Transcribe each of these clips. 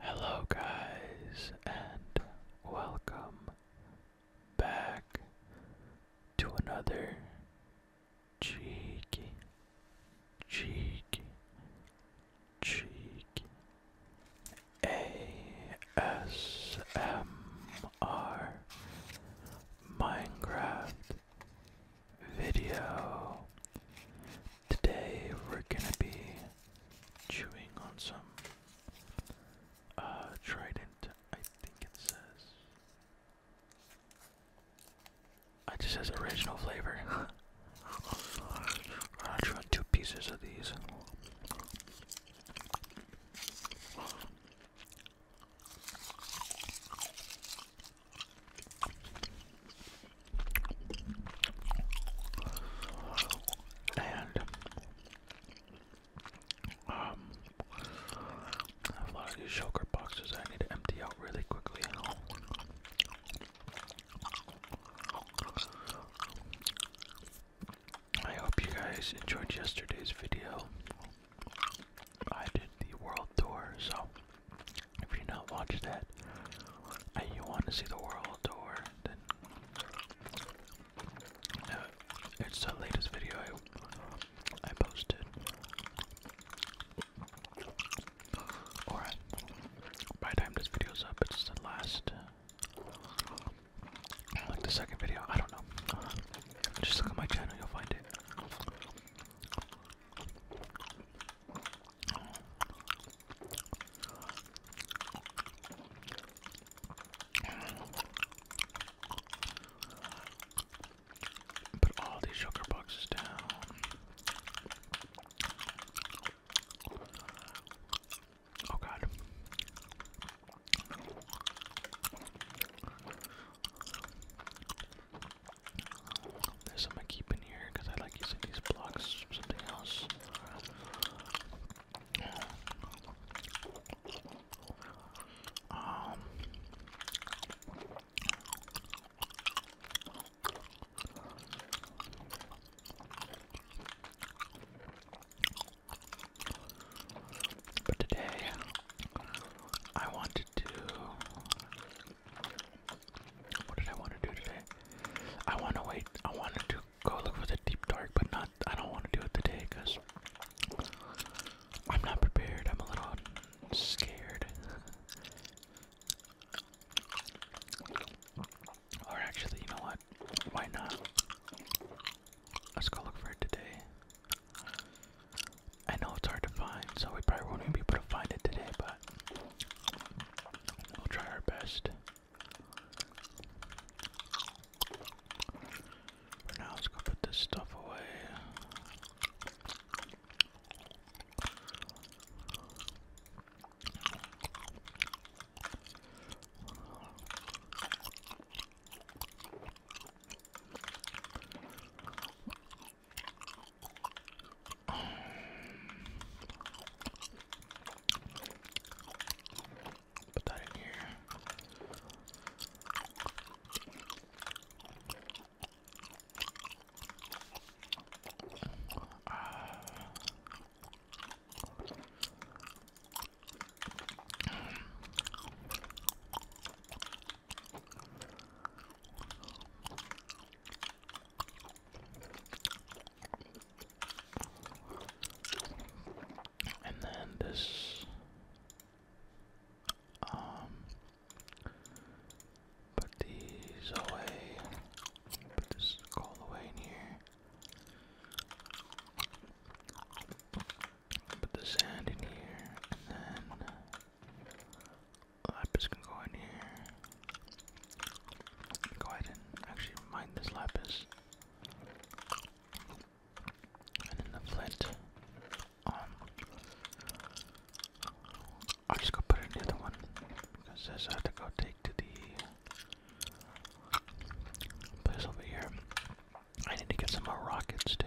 Hello, guys, and welcome back to another cheeky, cheeky, cheeky ASMR Minecraft video. Today we're gonna be chewing on some uh, trident, I think it says. I just says original flavor. I'll try two pieces of these and um, I have a lot of boxes I need to empty out really quickly. I hope you guys enjoyed yesterday's video. I did the world tour, so if you not watched that and you want to see the world tour, then uh, it's the latest video I, I posted. Alright, by the time this video's up, it's the last, uh, like the second video, I don't know. just look at my channel, you'll find it. Put all these sugar boxes down. Oh god. There's some I here because I like using these blocks something else but today I wanted to. What did I want to do today? I want to wait. I wanted to go look for the deep dark, but not. I don't want to do it today because I'm not prepared. I'm a little scared. Or actually, you know what? Why not? Let's go look for it today. I know it's hard to find, so we probably won't even be able to find it today, but we'll try our best. For now, let's go put this stuff away. Put that in here. Uh, and then this um put these away. Put this call away in here. Put the sand in here and then Lapis can go in here. Go ahead and actually mine this lapis. And then the flint. Um, I'll just go put in the other one. Because this I have to go take to the place over here. I need to get some more rockets too.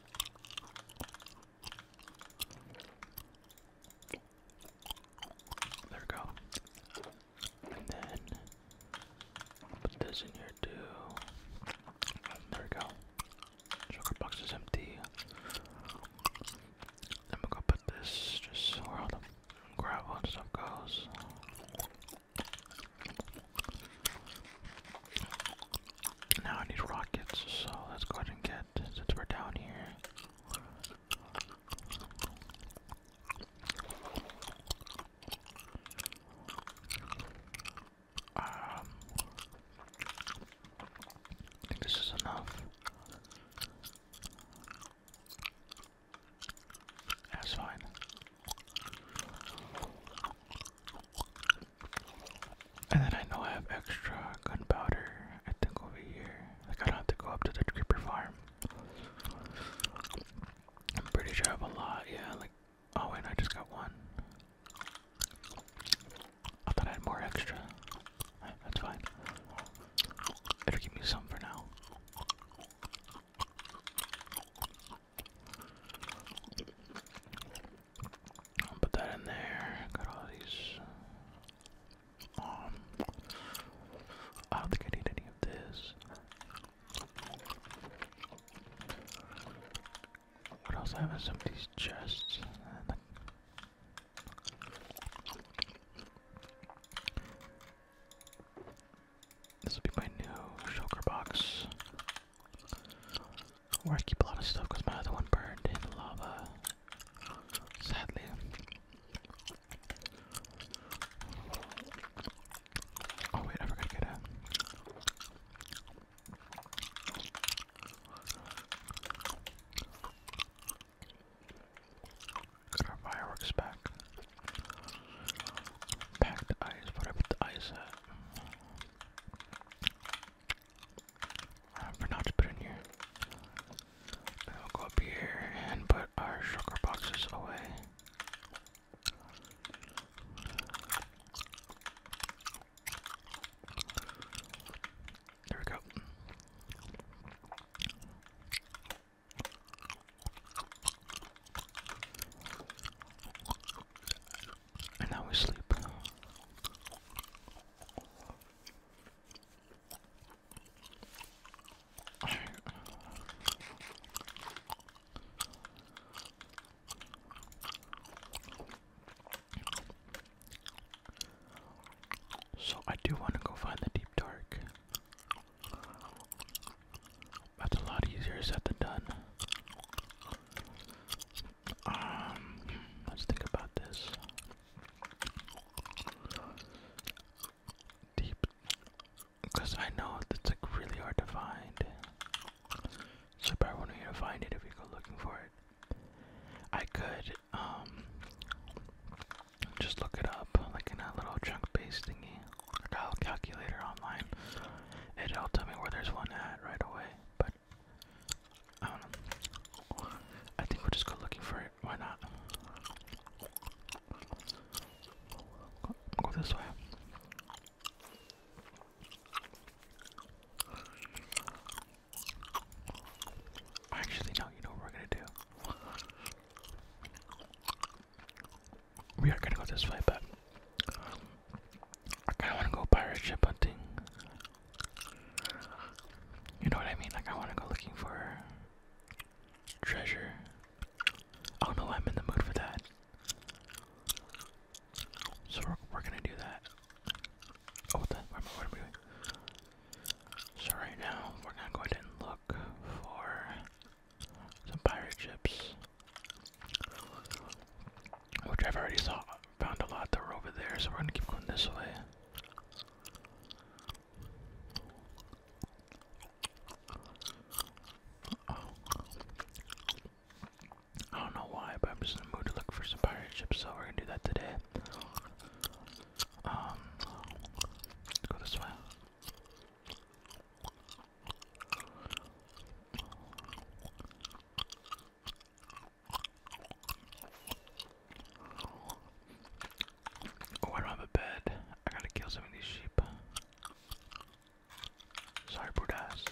There we go. And then put this in here too. There we go. Sugar box is empty. Then we'll go put this just where all the gravel stuff goes. Now I need rockets, so let's go ahead and get, since we're down here. Um, I think this is enough. That's fine. And then I know I have extra gunpowder, I think, over here. Like, I don't have to go up to the creeper farm. I'm pretty sure I have a lot, yeah. Like, oh, wait, I just got one. I thought I had more extra. Eh, that's fine. it give me some for now i put that in there. Got all these. Um, I don't think I need any of this. What else I have in some of This will be my new shulker box. Where I keep a lot of stuff because my other one burned in lava. Sadly. Oh wait, I forgot to get a. Got our fireworks back. Packed ice. What I the ice I uh, forgot to put in here. Now will go up here and put our sugar boxes away. There we go. And now we sleep. So I do want to go find the deep dark. That's a lot easier said than done. Um, let's think about this. Deep, because I know it's like really hard to find. So I probably to find it if you go looking for it. I could um, just look it up like in a little chunk based thingy, like a calculator online. It'll tell me where there's one at right away but I don't know. I think we'll just go looking for it. Why not? Go, this way. Actually, no, you know what we're gonna do? We are gonna go this way, but I kind of want to go pirate ship hunting. You know what I mean? Like, I want to go looking for treasure. I don't Oh no, I'm in the mood for that. So we're, we're gonna do that. Oh, what the? What, what are doing? So right now, we're gonna go ahead and look for some pirate ships. Which I've already saw found a lot that were over there, so we're gonna keep going this way. I don't know why, but I'm just in the mood to look for some pirate ships, so we're gonna do that today. Um, go this way. Oh, I don't have a bed. I gotta kill some of these sheep. Sorry, Budas.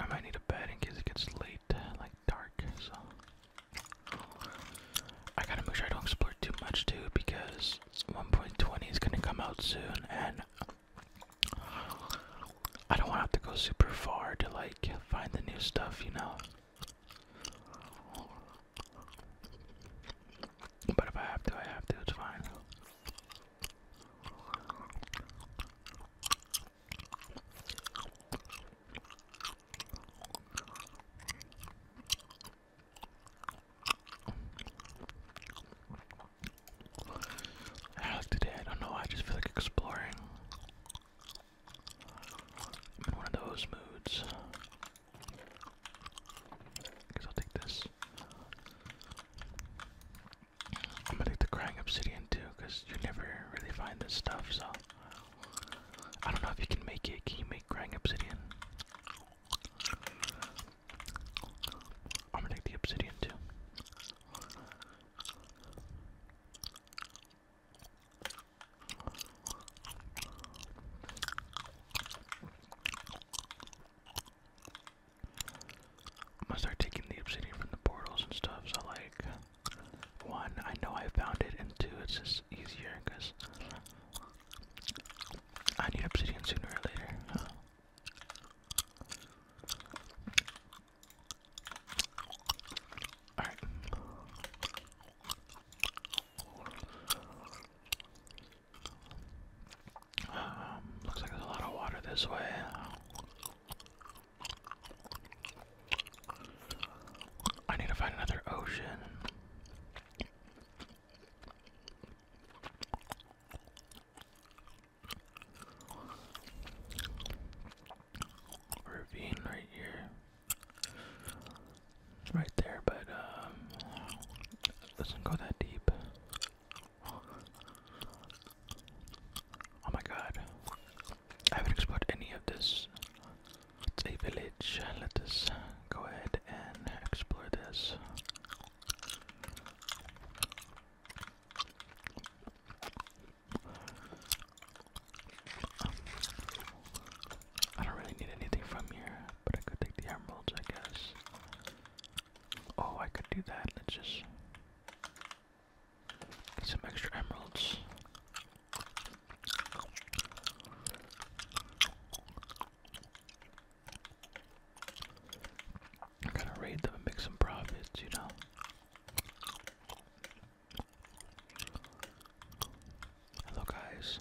I might need a bed in case it gets late, like dark, so I gotta make sure I don't explore too much too because 1.20 is gonna come out soon and I don't wanna have to go super far to like find the new stuff, you know. But if I have to, I have to, it's fine. I today, I don't know, I just feel like exploring. I'm in one of those moods. I I'll take this. I'm gonna take the crying obsidian too, because you never really find this stuff, so I don't know if you can make it. Can you make crying obsidian? I'm gonna take the obsidian too. I'm gonna start taking the obsidian from the portals and stuff, so like one, I know I found it, and two, it's just easier because I need obsidian sooner or later. Alright. Um, looks like there's a lot of water this way. I need to find another ocean. Ravine right here. Right there, but um doesn't go that deep. Oh my god. I haven't any of this. It's a village. Let us uh, go ahead and explore this. I don't really need anything from here, but I could take the emeralds, I guess. Oh, I could do that. Let's just get some extra emeralds. I gotta raid them and make some profits, you know. Hello, guys.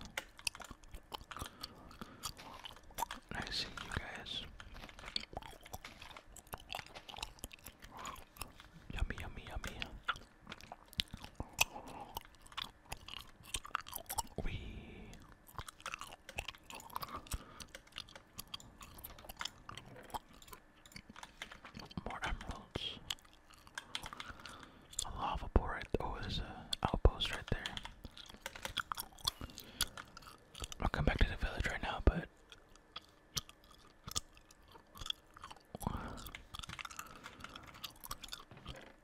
Nice seeing you guys. Yummy, yummy, yummy. We more emeralds. A lava port. oh there's a outpost right there. I'll come back to the village right now, but um,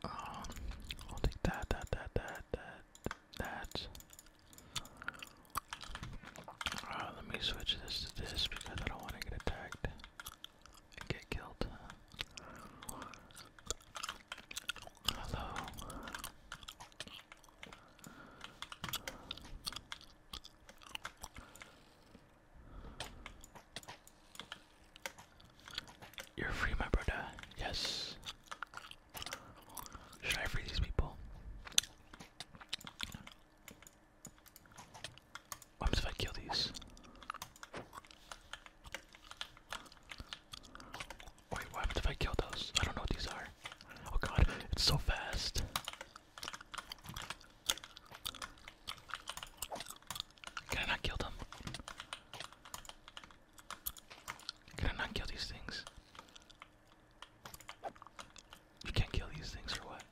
I'll take that, that, that, that, that, that. Uh, let me switch this to this because I don't want to get attacked and get killed. Hello. You're free, my brother. Yes. Should I free these people? What happens if I kill these? Wait, what happens if I kill those? I don't know what these are. Oh god, it's so fast. Can I not kill them? Can I not kill these things? You can't kill these things or what?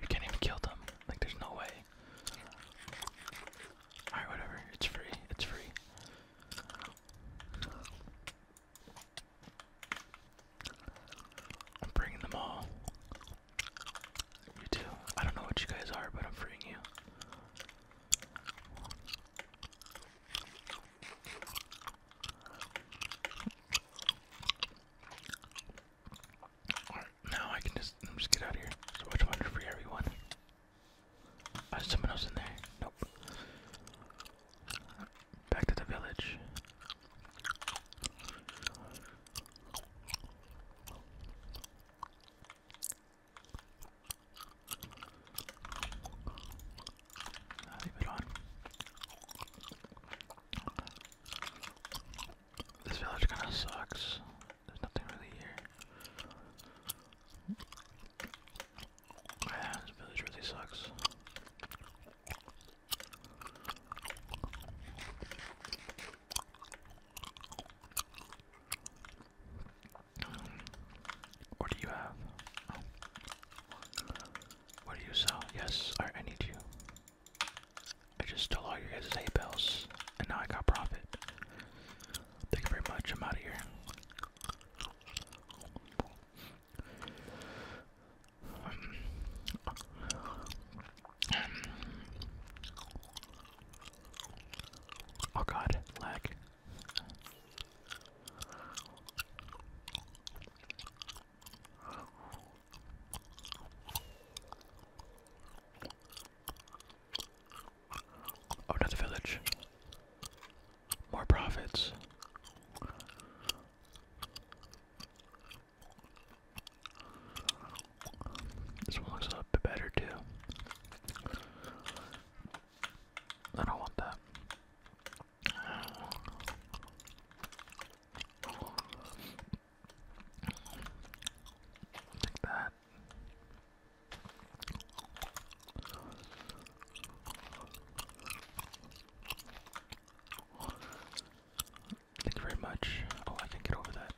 You can't even kill them. Like, there's no way. Alright, whatever. It's free. It's free. I'm bringing them all. You too. I don't know what you guys are, but I'm freeing you. now I can just, just get out of here. So, which one to everyone? Oh, someone else in there. Nope. Back to the village. leave it on. This village kind of sucks. There's nothing really here. Yeah, this village really sucks. What do you have? What do you sell? Yes, I, I need you. I just stole all your guys' pay bills, and now I got profit. Thank you very much. I'm out of here. Um, um, oh god, lag. Oh, another village. More profits. This one looks a little bit better too. I don't want that. Take that. Thank you very much. Oh, I can get over that.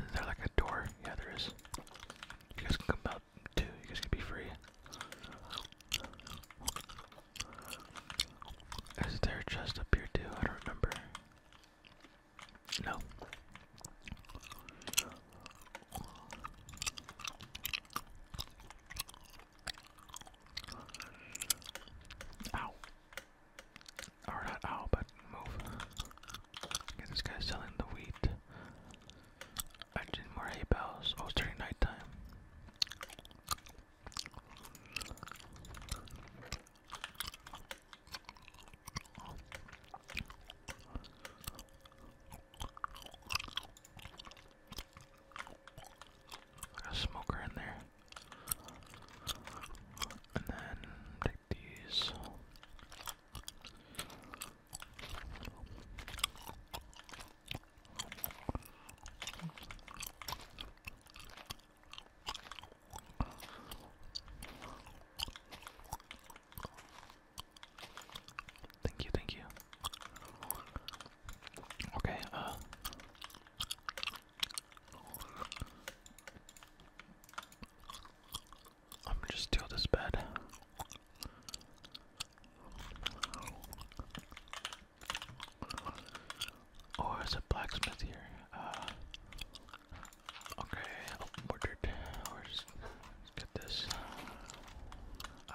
Is there like a door? Yeah, there is. You guys can come out too. You guys can be free. Is there a chest up here too? I don't remember. No. Ow. Or not ow, but move. this guy's selling the wheat. I did more hay bales. Oh, it's during nighttime. Got a smoker in there. And then take these. Thank you, thank you. Okay, uh I'm just steal this bed. Oh, there's a blacksmith here. Uh, okay, open portrait. Or get this. Uh,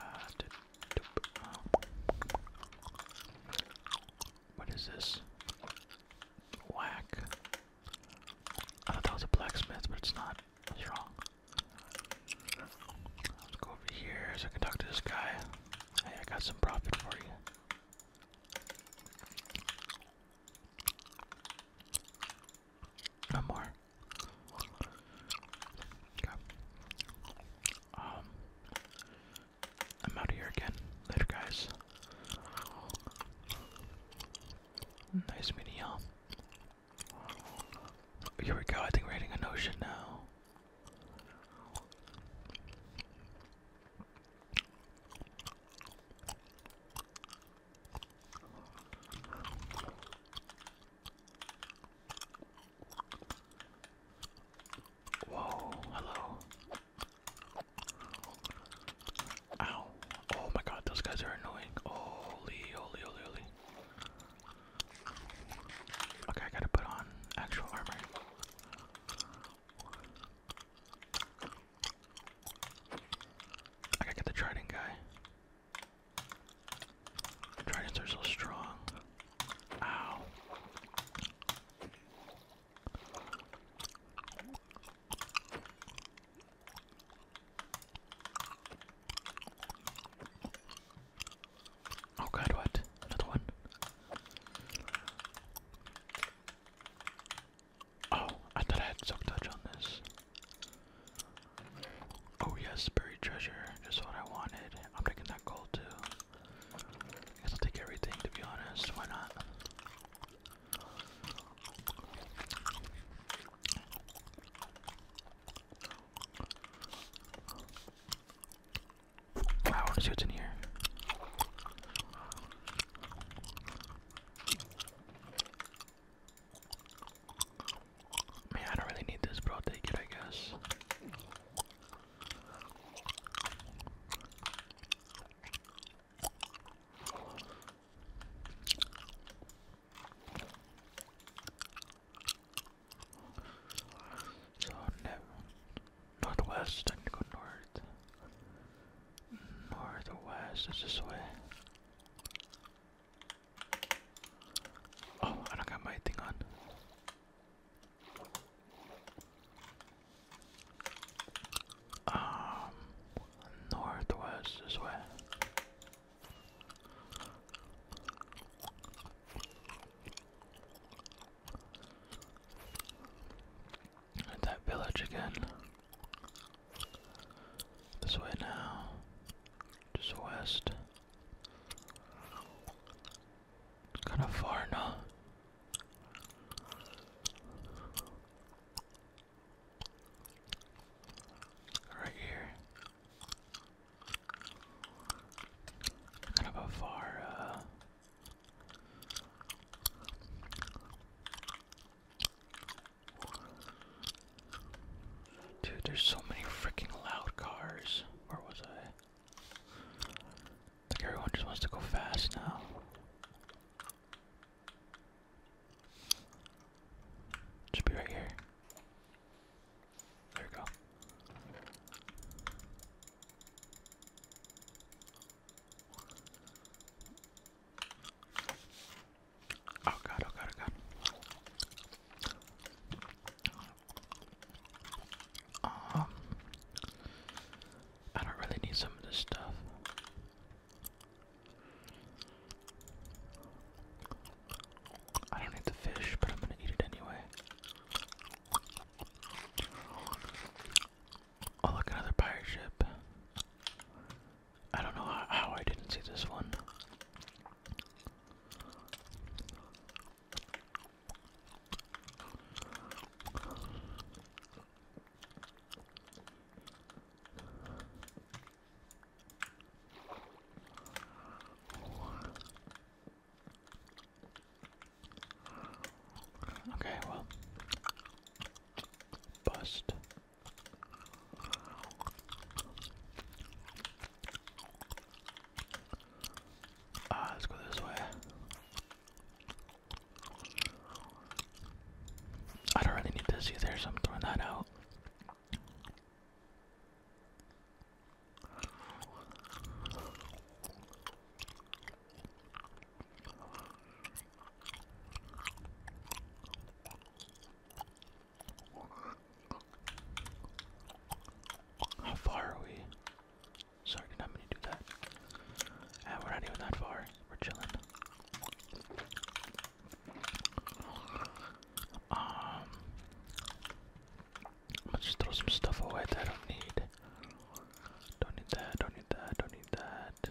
what is this? Whack. I thought that was a blacksmith, but it's not. What's wrong? Let's go over here so I can talk to this guy. Hey, I got some profit for you. No more. Okay. Um, I'm out of here again. Later, guys. Nice meeting you Here we go. I think we're hitting an ocean now. Whoa, hello. Ow. Oh my god, those guys are annoying. Holy, holy, holy, holy. Okay, I gotta put on actual armor. I gotta get the trident guy. Tridents are so strong. Ow. Oh god, what? Another one? Oh, I thought I had silk touch on this. Oh yes, buried treasure. Just what I wanted. I'm taking that gold too. I guess I'll take everything to be honest. Why not? I want to see what's in here. Man, I don't really need this, but take it, I guess. So, never northwest. I need to go north. Northwest is this way. Oh, I don't got my thing on. Um, northwest this way. At that village again. This way now. Just west. It's kinda far now. Right here. Kind of a Dude, there's so many freaking loud cars. Where was I? Like everyone just wants to go fast now. Should be right here. There we go. Oh god, oh god, oh god. Um, I don't really need some of this stuff. I don't need the fish, but I'm gonna eat it anyway. Oh, look, another pirate ship. I don't know how, how I didn't see this one. Okay, well. Bust. Ah, let's go this way. I don't really need this either, so I'm throwing that out. How far are we? Sorry, did not going to do that. Ah, we're not even that far. We're chilling. Um, I'm gonna just throw some stuff away that I don't need. Don't need that, don't need that, don't need that.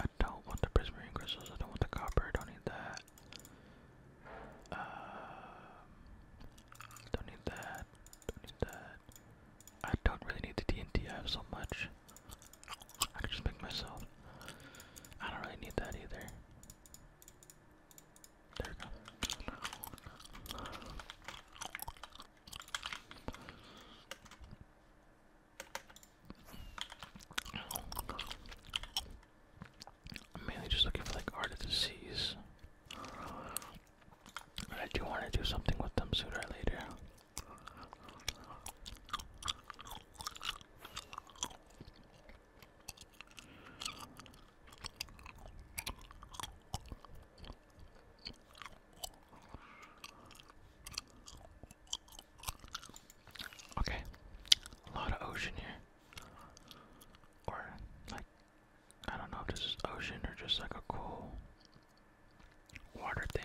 I don't want the prismarine crystals, I don't want the copper, don't need that. Um, don't need that, don't need that. I don't really need the TNT, I have so much. I can just make myself. I don't really need that either. There we go. I'm mainly just looking for like art of the seas. I do want to do something with them sooner or later. Okay, a lot of ocean here. Or, like, I don't know if this is ocean or just like a cool water thing.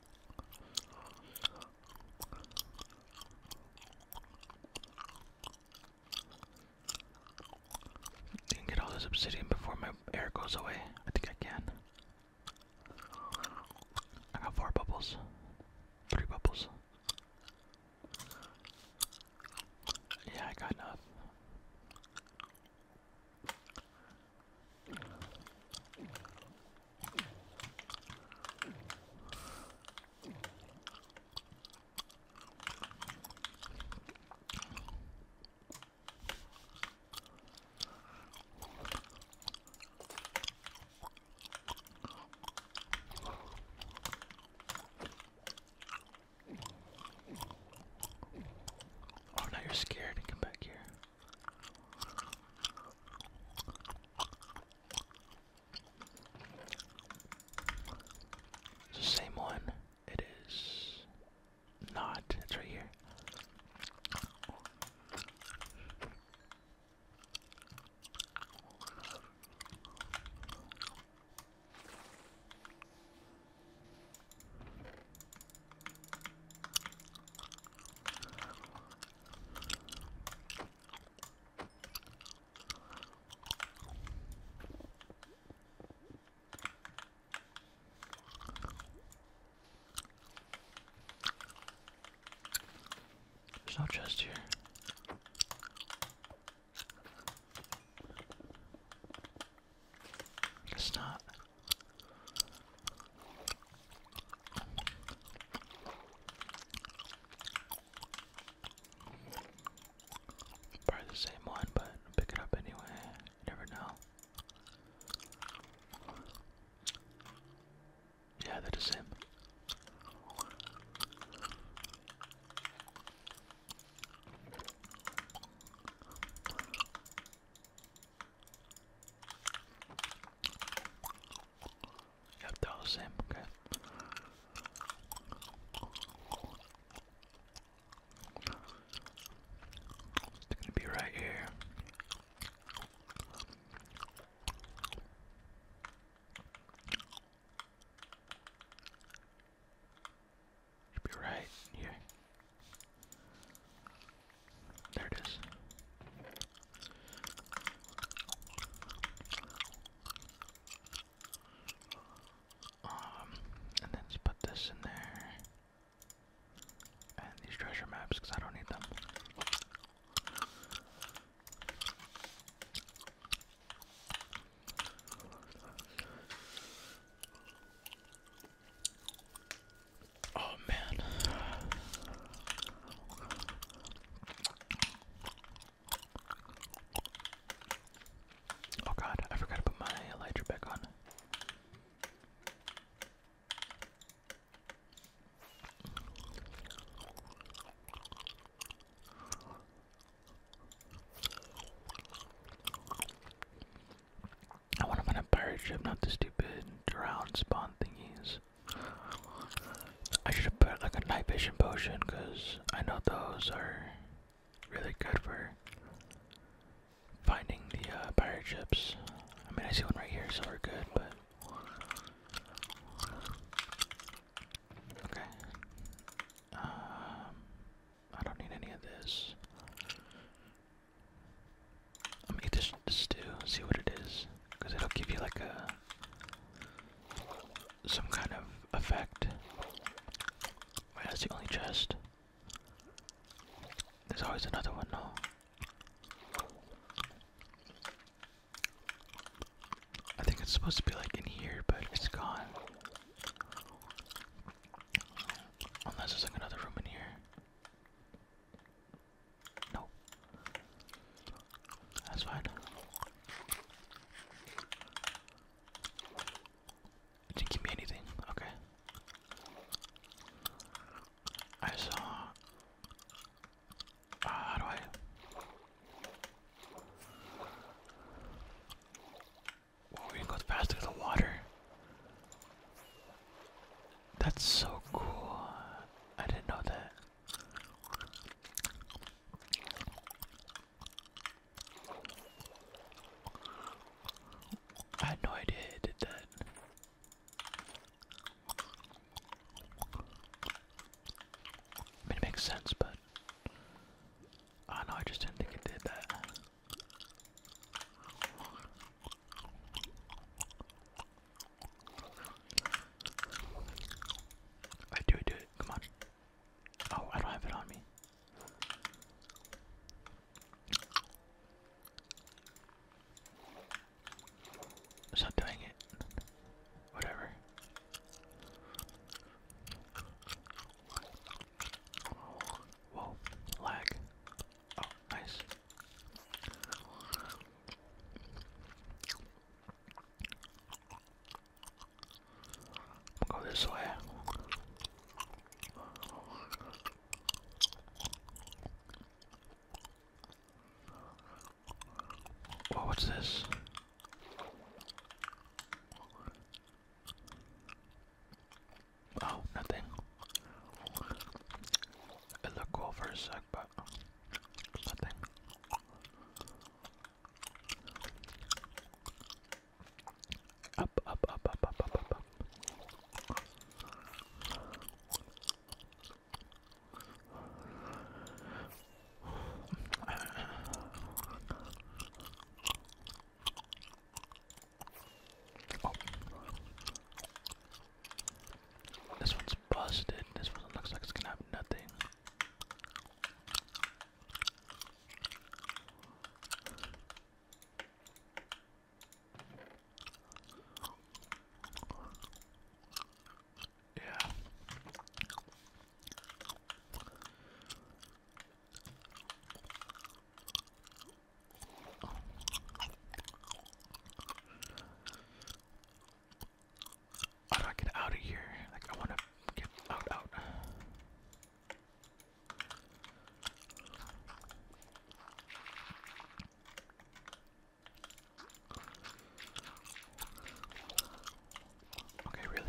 I can get all this obsidian before my air goes away. I think I can. I got four bubbles. Three bubbles. Yeah, I got enough. Oh, now you're scared come back here the same one. It is not. It's right here. There's no chest here. Guess not. Probably the same one, but pick it up anyway. never know. Yeah, that is him. You have to do the same, okay. they gonna be right here. Should be right here. There it is. Um, and then just put this in there. And these treasure maps, because I don't need them. Oh man. Oh god, I forgot to put my lighter back on. I want to find a pirate ship, not the stupid drown spawn thingies. I should have put like a night vision potion because I know those are really good for finding the uh, pirate ships. I mean, I see one right here, so we're good, but. Okay. Um, I don't need any of this. I'll make this stew, see what it is, because it'll give you like a some kind of effect. Wait, that's the only chest. There's always another one, no? I think it's supposed to be like in here, but it's gone. Unless there's another room in here. No. That's fine. didn't give me anything. Okay. I saw. Uh, how do I? we can go faster the water. That's so cool. I didn't know that. I had no idea it did that. I mean, it makes sense, but I know, I just didn't think it did that. I do it, do it, come on. Oh, I don't have it on me. It's not doing it. Whatever. Whoa, lag. Oh, nice go this way. what's this? Oh, nothing. It looked cool a second that, but nothing. Up, up, up, up, up, up, up, up. Oh. This one's busted. This one looks like it's gonna have nothing. Yeah. How do I get out of here? Like, I want to get out, out. Okay, really?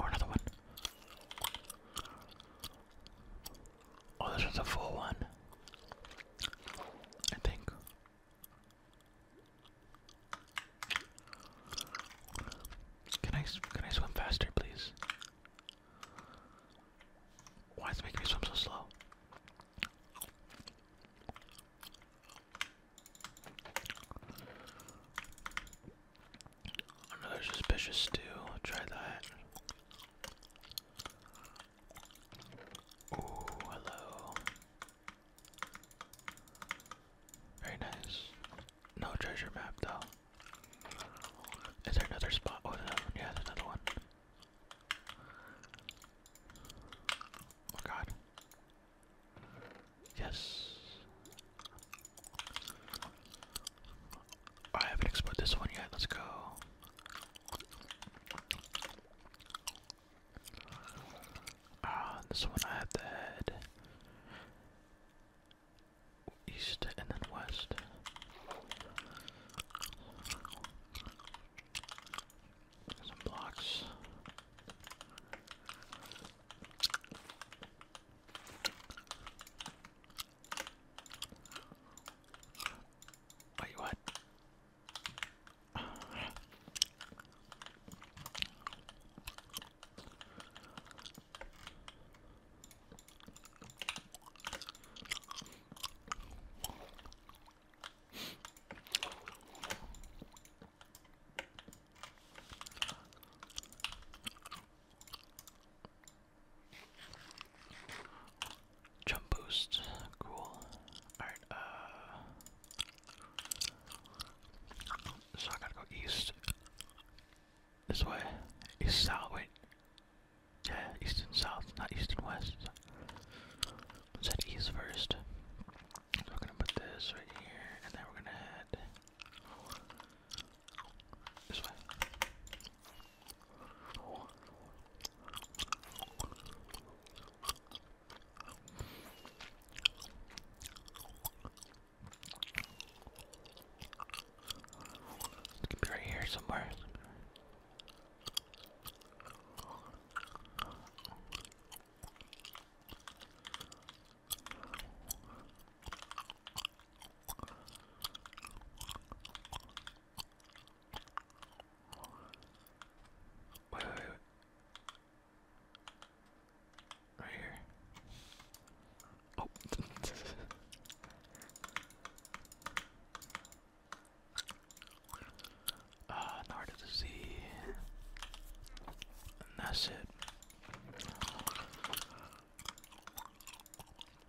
Or another one. Oh, this is a full one. I think. Can I can I swim faster, please? Why is making me swim so slow? Another suspicious stew. try that. Ooh, hello. Very nice. No treasure map though. Is there another spot? Oh, another one. Yeah, another one. Oh god. Yes. Oh, I haven't explored this one yet. Let's go. Ah, this one I have the head. East and then west. Some blocks. Wait, what? Jump boost, cool. Alright, uh. So I gotta go east. This way. East south, yeah, east and south, not east and west. Let's head east first. we're gonna put this right here, and then we're gonna head this way. It could be right here somewhere. Wait, wait, wait. Right here. Oh. Uh, ah, Nard the Sea. And that's it.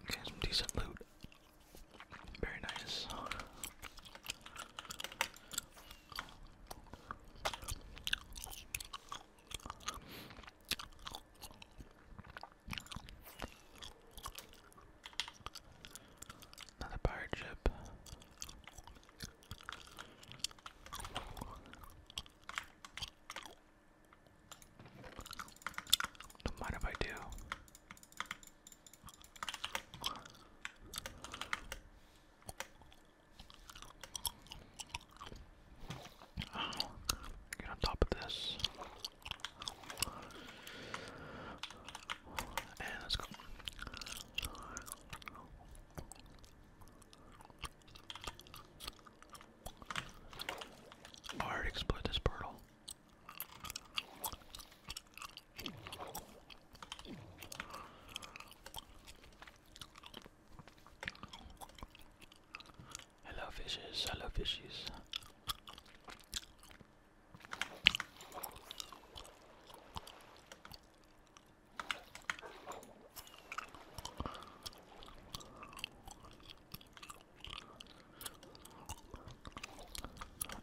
Okay, some decent loot. Very nice. Another pirate ship. Don't mind if I do. get on top of this let's go. Alright, explode this portal. Hello fishes, hello fishes.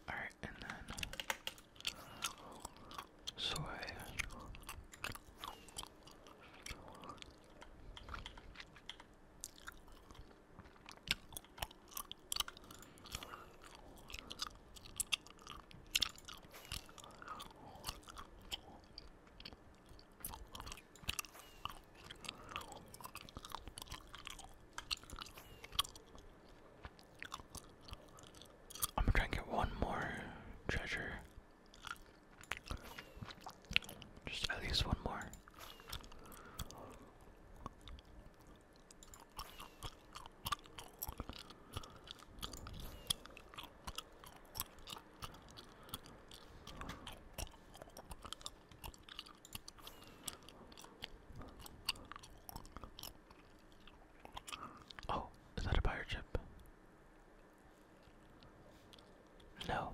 All right, and then soy. I'm gonna get one more treasure. Just at least one more. Oh, is that a pirate ship? No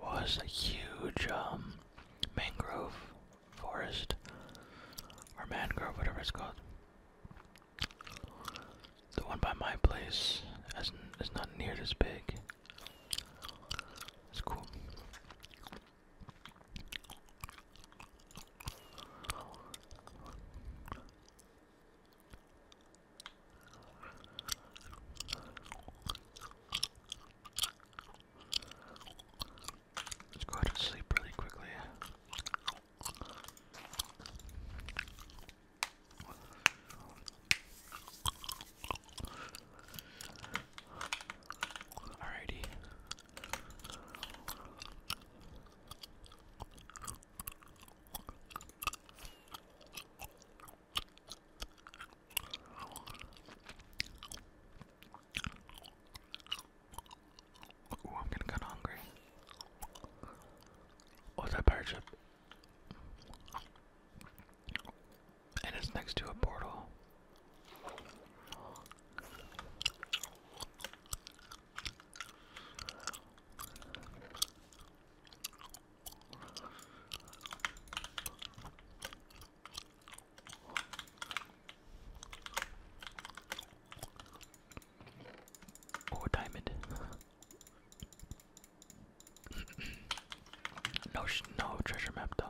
was a huge um, mangrove forest or mangrove, whatever it's called. The one by my place is not near this big. It's cool. Let's go ahead and sleep really quickly. Alrighty. Ooh, I'm getting kinda hungry. Oh, that pirate ship. And it's next to a portal. Oh, diamond. no, no treasure map though.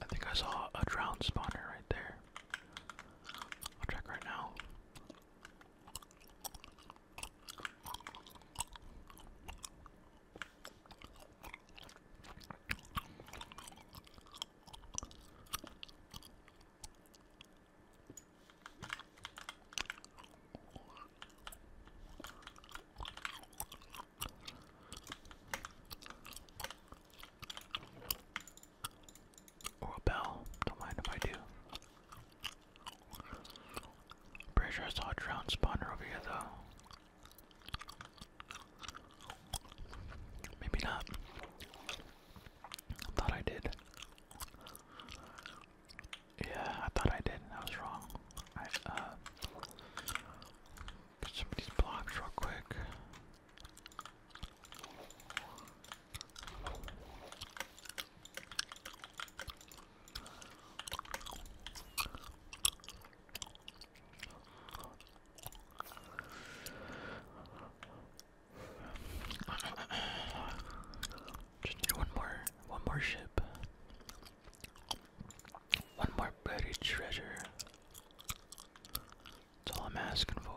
I think I saw a drowned spawner right there. I'll check right now. Or a bell. Don't mind if I do. I'm saw a drowned spawner over here though. Maybe not. thought I did. Yeah, I thought I did. I was wrong. I uh, some of these blocks real quick. Just need one more, one more ship, one more buried treasure. That's all I'm asking for.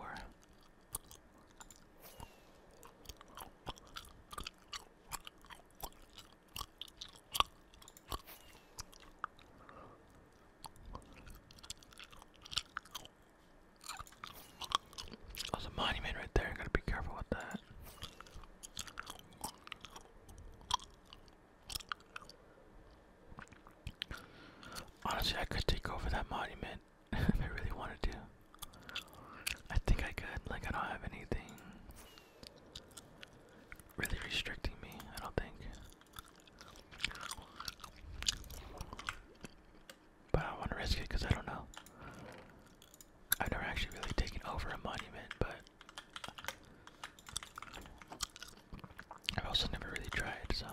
Oh, a monument right there. Gotta be careful with that. Honestly, I could take over that monument if I really wanted to. I think I could. Like, I don't have anything really restricting me, I don't think. But I want to risk it because I don't know. I've never actually really taken over a monument, but I've also never really tried, so.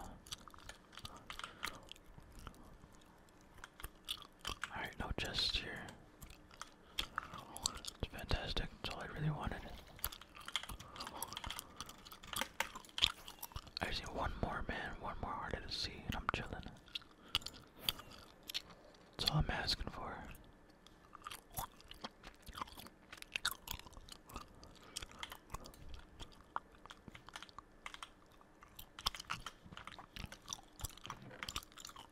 Alright, no chests here. It's fantastic, that's all I really wanted. I just need one more man, one more heart to see, and I'm chilling. That's all I'm asking for.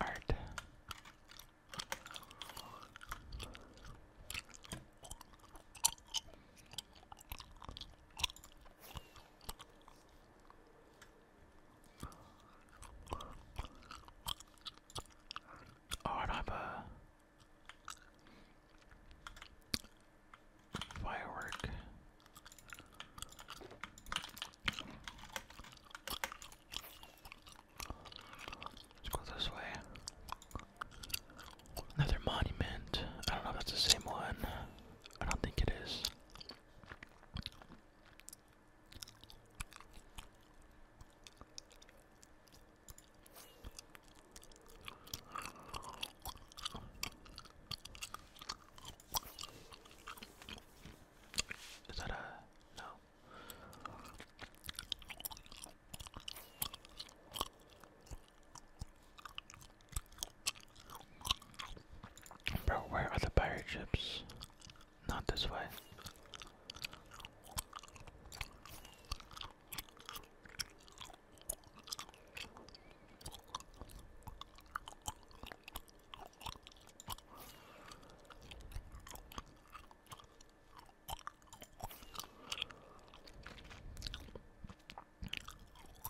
Art. Oh, and a firework Let's go this way. Another monument. I don't know if that's the same one. I don't think it is. Bro, where are the pirate ships? Not this way.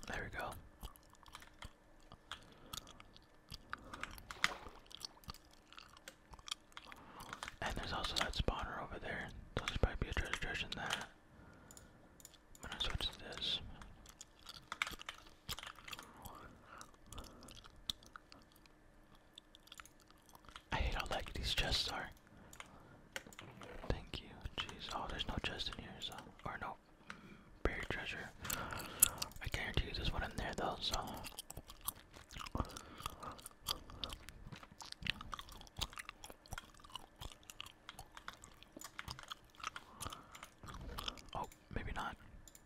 There we go. And there's also that spawner over there. So there's be a treasure chest in that. I'm gonna switch to this. I hate how like these chests are. Thank you. Jeez. Oh, there's no chest in here, so or no mm, buried treasure. I guarantee you there's one in there though, so Oh, maybe not.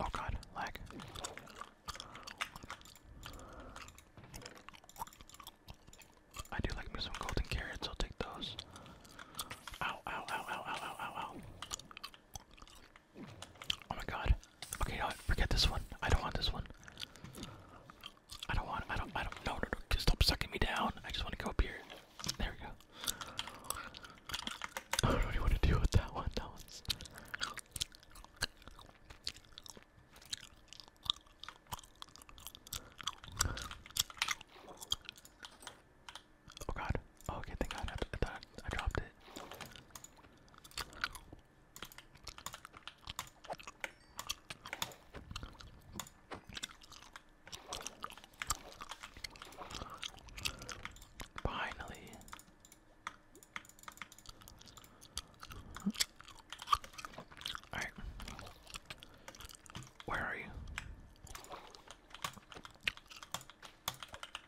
Oh god, lag. I do like me some golden carrots, I'll take those. Ow, ow, ow, ow, ow, ow, ow, ow. Oh my god. Okay, no, forget this one. I don't want this one. I don't want, I don't, I don't, no, no, no, just stop sucking me down. I just want to go up here. There we go. I don't really want to deal with that one. That one's. Oh god. Oh, okay, thank god. I dropped it. Finally. Alright. Where are you?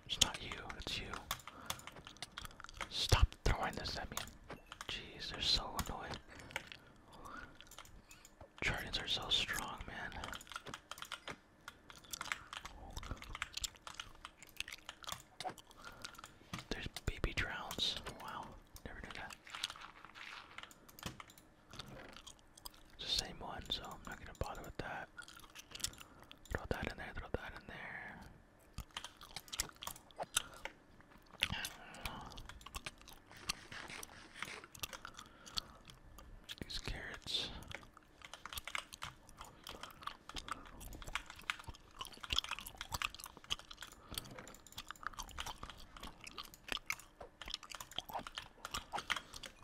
It's not you, it's you. Stop throwing this at me. Jeez, they're so annoying. Jardins are so strong, man. There's baby drowns. Wow, never knew that. It's the same one, so I'm not gonna bother with that. Throw that in there, throw that in there. These carrots.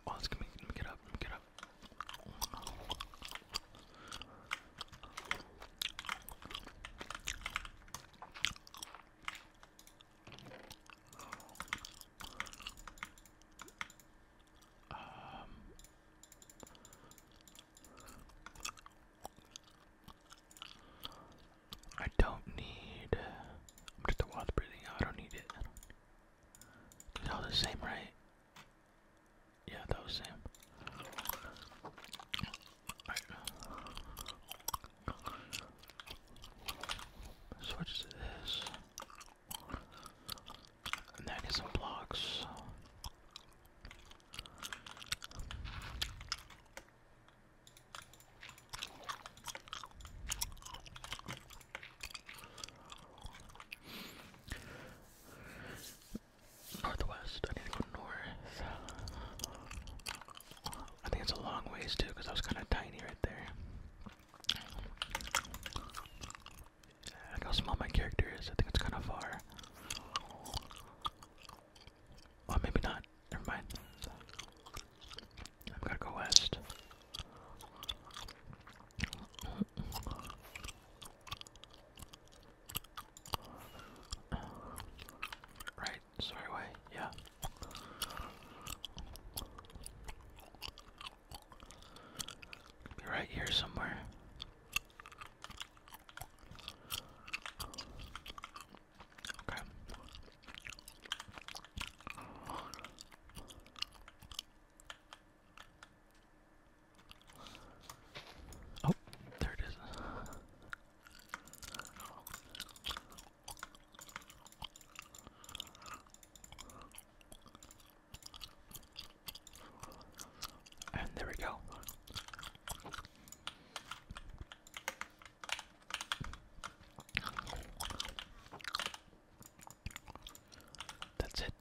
Oh, let's get me, let me get up, let me get up. Um, I don't need. I'm just a wild breathing. I don't need it. It's all the same, right? Yeah, that was same. Right. this. I get some blocks. Northwest, I need to go north. I think it's a long ways too, because I was kind of tiny right there. Like how small my character is, I think it's kind of far. Oh, maybe not. Never mind. I've got to go west. Right, sorry way, yeah. Be right here somewhere. Okay. Oh, there it is. And there we go. That's it.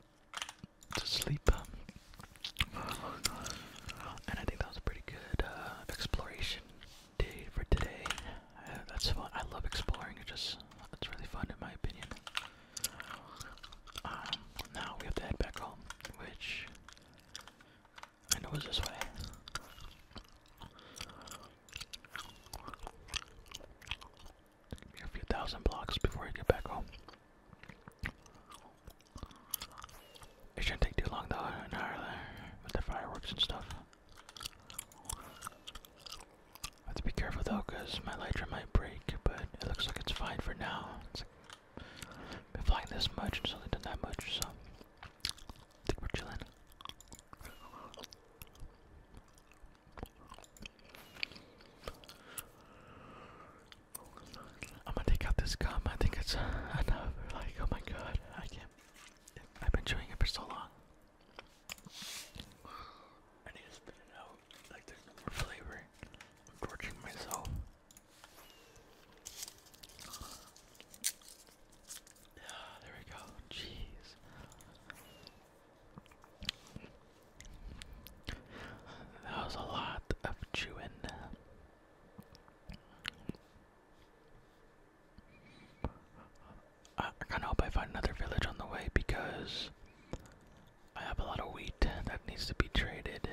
To sleep. And I think that was a pretty good uh, exploration day for today. Uh, that's fun. I love exploring. It just it's really fun in my opinion. Um, now we have to head back home, which I know is this way. a few thousand blocks before I get back home. It shouldn't take too long though, an hour with the fireworks and stuff. I have to be careful though, because my lighter might break, but it looks like it's fine for now. been flying this much, and it's only done that much, so I think we're chilling. I'm gonna take out this gum. I think it's enough. Like, oh my god, I can't. I've been chewing it for so long. I need to spit it out. Like there's no flavor. I'm torturing myself. Yeah, there we go. Jeez. That was a lot of chewing. I kind of hope I find another village on the way because I have a lot of wheat that needs to be traded.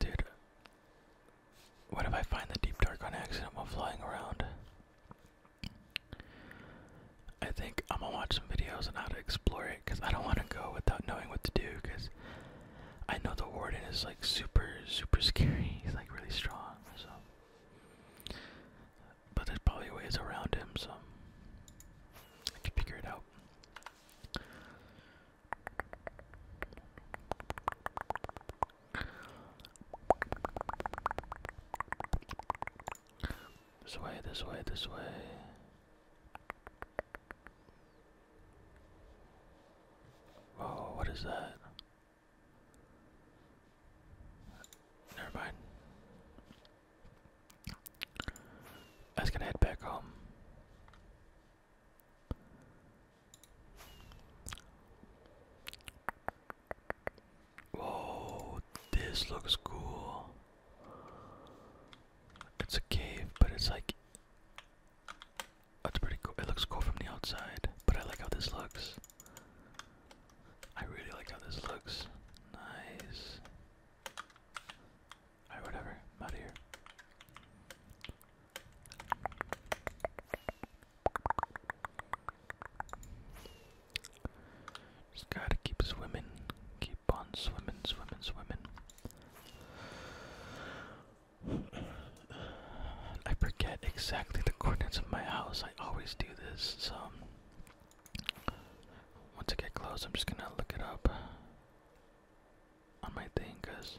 Dude, what if I find the deep dark on accident while flying around? I think I'm gonna watch some videos on how to explore it because I don't want to go without knowing what to do because I know the warden is like super, super scary. He's like really strong, so. But there's probably ways around him, so I can figure it out. This way, this way, this way. Whoa, what is that? Never mind. I was gonna head back home. Whoa, this looks cool. It's a cave, but it's like. That's pretty cool. It looks cool from the outside, but I like how this looks. I really like how this looks. Nice. Alright, whatever. out of here. Just gotta keep swimming. Keep on swimming, swimming, swimming. I forget exactly the coordinates of my house. I always do this, so. Once I get close, I'm just gonna look it up on my thing, cause.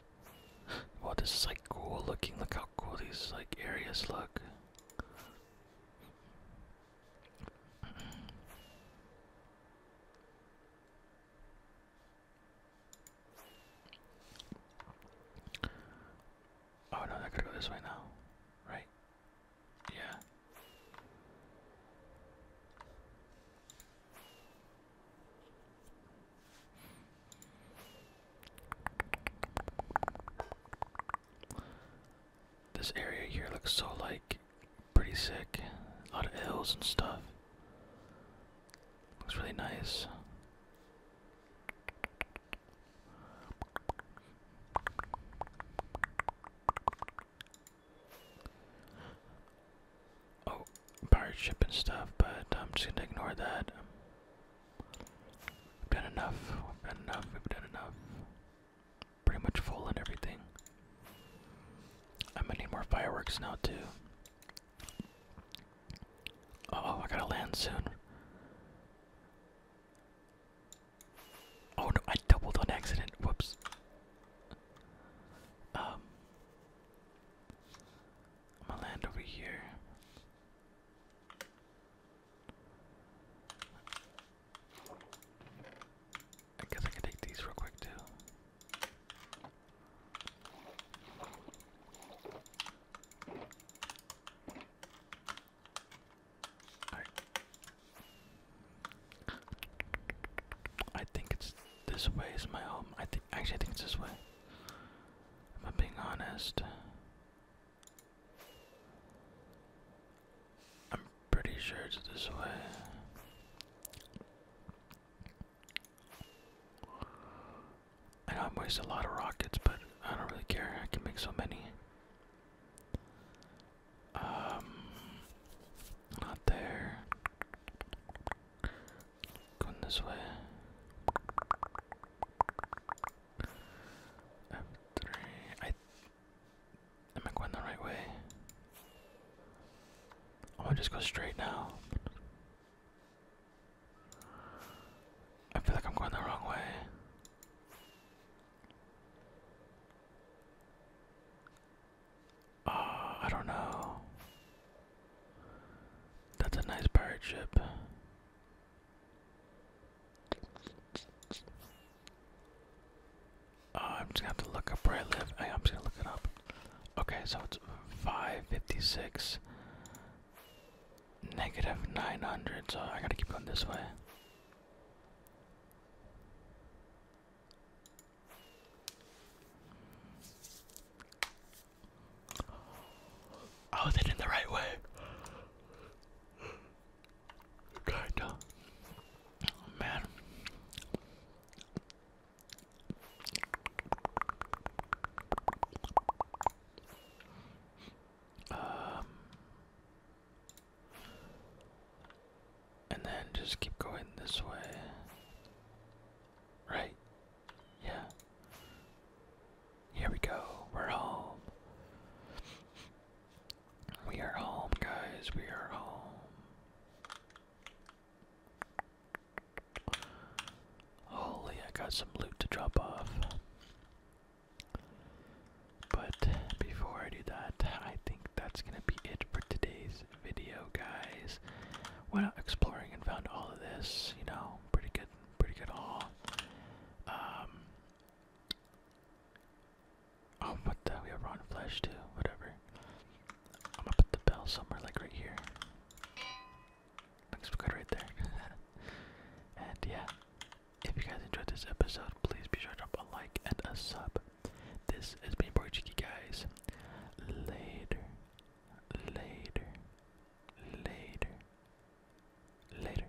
Well, this is like cool looking. Look how cool these like areas look. Oh no, that could go this way now, right? Yeah. This area here looks so like pretty sick. A lot of hills and stuff. Looks really nice. Oh, pirate ship and stuff, but I'm just gonna ignore that. We've done enough. We've done enough. We've done enough pretty much full and everything. I'm gonna need more fireworks now too. oh, I gotta land soon. Oh no, I doubled on accident. Whoops. Um, I'm gonna land over here. I guess I can take these real quick too. I think it's this way is my home. I think actually I think it's this way. If I'm being honest. I'm pretty sure it's this way. I know I'm wasting a lot of rockets, but I don't really care. I can make so many. Um, not there. Going this way. F3. I Am I going the right way? I'm gonna just go straight now. I feel like I'm going the wrong way. Uh, I don't know. That's a nice pirate ship. Uh, I'm just gonna have to look up where I live. I, am just gonna look it up. Okay, so it's 556 negative 900, so I gotta keep going this way. I was heading the right way. Kinda. man. Um, and then just keep going this way. Right? Yeah. Here we go. We're home. We are home, guys. We are home. Holy, I got some loot to drop off. But before I do that, I think that's going to be it for today's video, guys. Went out exploring and found all of this, you know, pretty good, pretty good haul. Um, Oh, what the? We have rotten flesh too. Whatever. I'm gonna put the bell somewhere, like right here. Looks good right there. and yeah, if you guys enjoyed this episode, please be sure to drop a like and a sub. This has been Portuguese guys. Later, later, later, later.